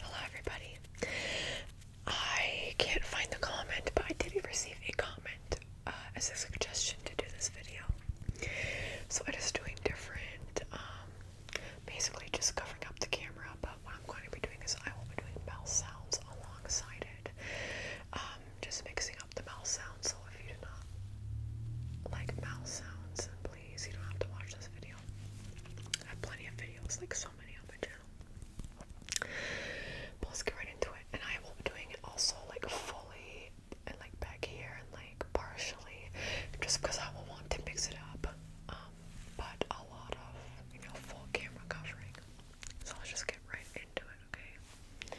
Hello, everybody. I can't find the comment, but I did receive a comment uh, as a suggestion to do this video. So I'm just doing different, um, basically just covering up the camera. But what I'm going to be doing is I will be doing mouth sounds alongside it, um, just mixing up the mouth sounds. So if you do not like mouth sounds, then please you don't have to watch this video. I have plenty of videos, like so many on my channel. let's get right into it. And I will be doing it also like fully and like back here and like partially, just because I will want to mix it up. Um, but a lot of you know full camera covering. So I'll just get right into it, okay?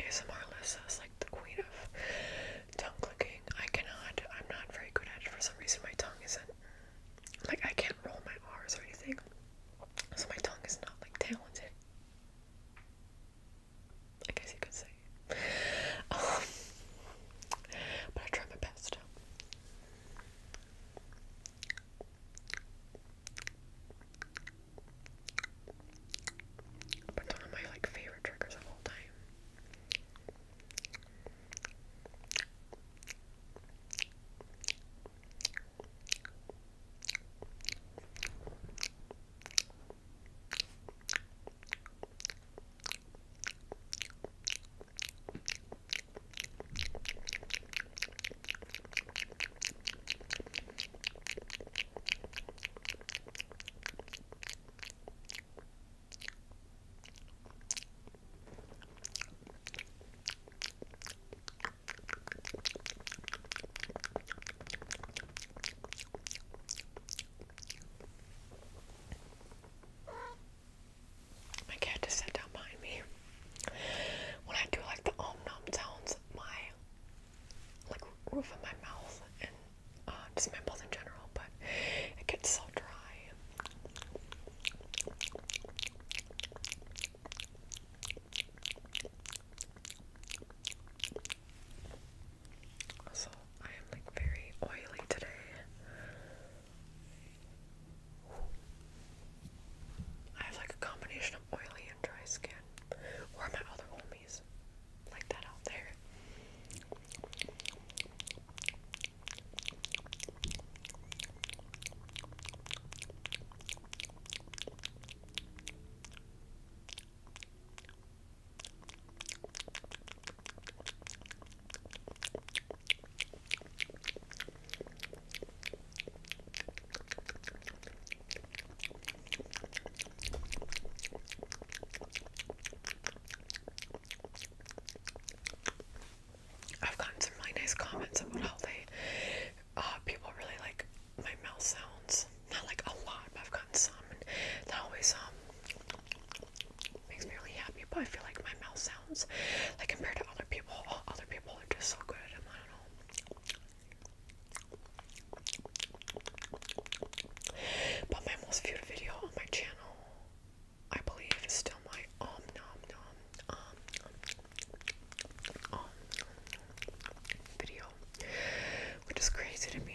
ASMR Lissa is like the queen of tongue clicking. I cannot, I'm not very good at it. For some reason, my tongue isn't, like, I can't roll my R's or anything. So my tongue is not, like, talented. I guess you could say. Um, but I try my best. But it's one of my like favorite triggers of all time. My cat just sat down behind me. When I do like the om nom sounds, my like roof of my mouth and uh, just my mouth in general, but it gets so dry. So I am like very oily today. I have like a combination of oily dry skin. Or my other homies like that out there. I've gotten some really nice comments about how they, uh, people really like my mouth sounds. Not like a lot, but I've gotten some, and that always um makes me really happy. But I feel like my mouth sounds, like compared to other people, other people are just so good. at I don't but my most viewed video on my channel, I believe, is still my om um, nom nom um om video, which is crazy to me.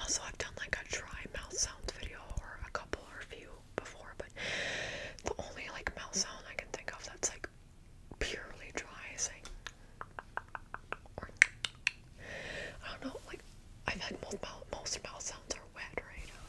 Also, I've done like a dry mouth sounds video or a couple or a few before, but the only like mouth sound I can think of that's like purely dry like or I don't know, like I feel most most mouth sounds are wet right now.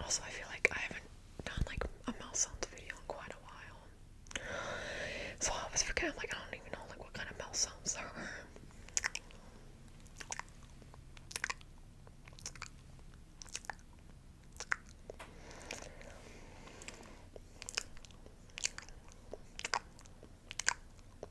Also, I feel like I haven't done like a mouth sounds video in quite a while. So I always forget, i like, I don't even know like what kind of mouth sounds are.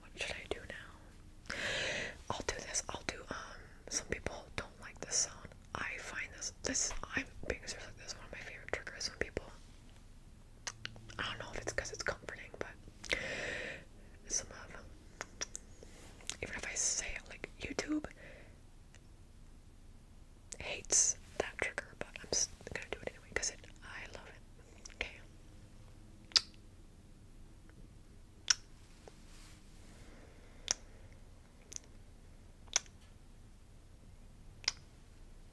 What should I do now? I'll do this. I'll do um some people don't like this song. I find this this I'm being serious like this is one of my favorite triggers when people I don't know if it's because it's comforting, but some of them, even if I say it like YouTube hates that trigger, but I'm just gonna do it anyway because I love it. Okay.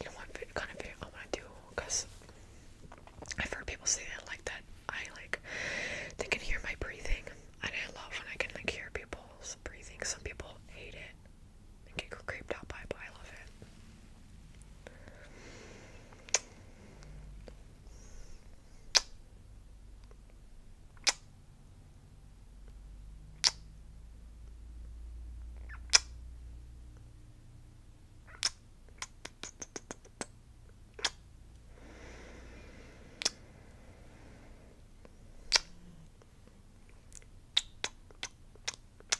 You know what kind of video I want to do? Because I've heard people say that like that. I like they can hear my breathing, and I love when I can like hear people's breathing. Some people hate it and get creeped out by but I love it.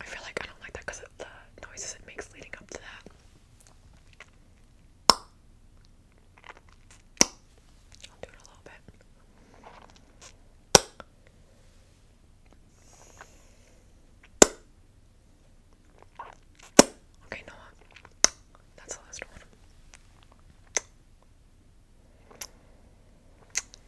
I feel like I don't like that because of the noises it makes leading up to that. Okay, Noah. Uh, that's the last one.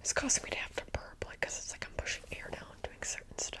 It's causing me to have to burp, like, because it's like I'm pushing air down, doing certain stuff.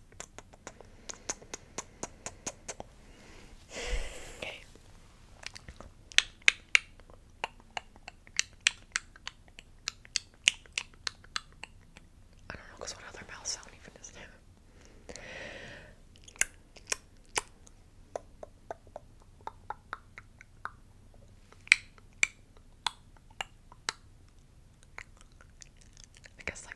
I don't know what other mouth sound even is there. I guess like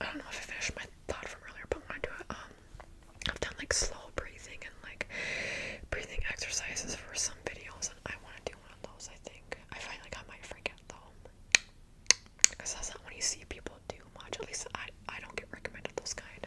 I don't know if I finished my thought from earlier, but when I do it, um, I've done like slow breathing and like breathing exercises for some videos, and I want to do one of those. I think I find like I might forget though, because that's not when you see people do much. At least I I don't get recommended those kind.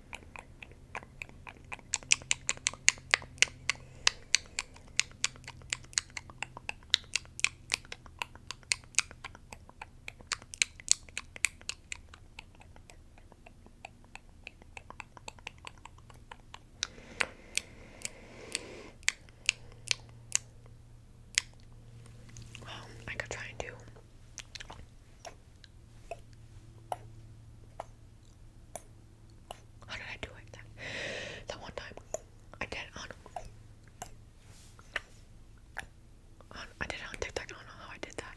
Well, I could try and do how did I do it? That, one time I did on, on I did it on TikTok. I don't know how I did that.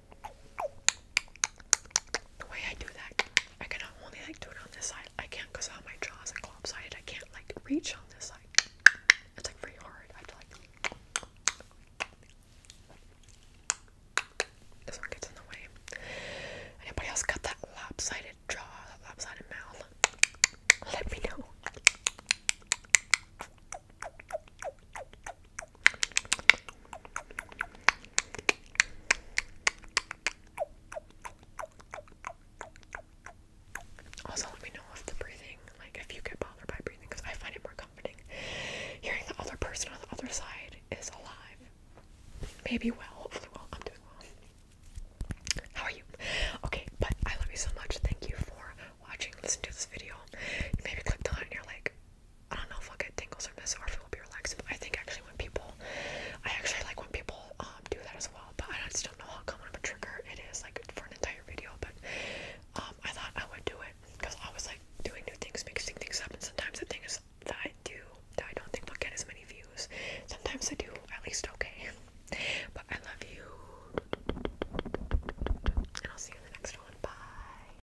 The way I do that, I can only like do it on this side. I can't cause how my jaw is like lopsided. I can't like reach on this side. It's like very hard. I have to like this one gets in the way. Anybody else got that lopsided jaw, that lopsided mouth? Let me know. Also, let me know if the breathing, like if you get bothered by breathing, because I find it more comforting hearing the other person on the other side is alive. Maybe well, hopefully well. I'm doing well. How are you? Okay, but I love you so much. Thank you for watching, listening to this video. maybe clicked on it and you're like, I don't know if I'll get tingles or this or if it will be relaxing. But I think actually when people, I actually like when people um, do that as well. But I just don't know how common of a trigger it is, like for an entire video. But um, I thought I would do it because I was like doing new things, mixing things up, and sometimes the things that I do that I don't think will get as many views. Sometimes I do, at least okay. But I love you, and I'll see you in the next one. Bye.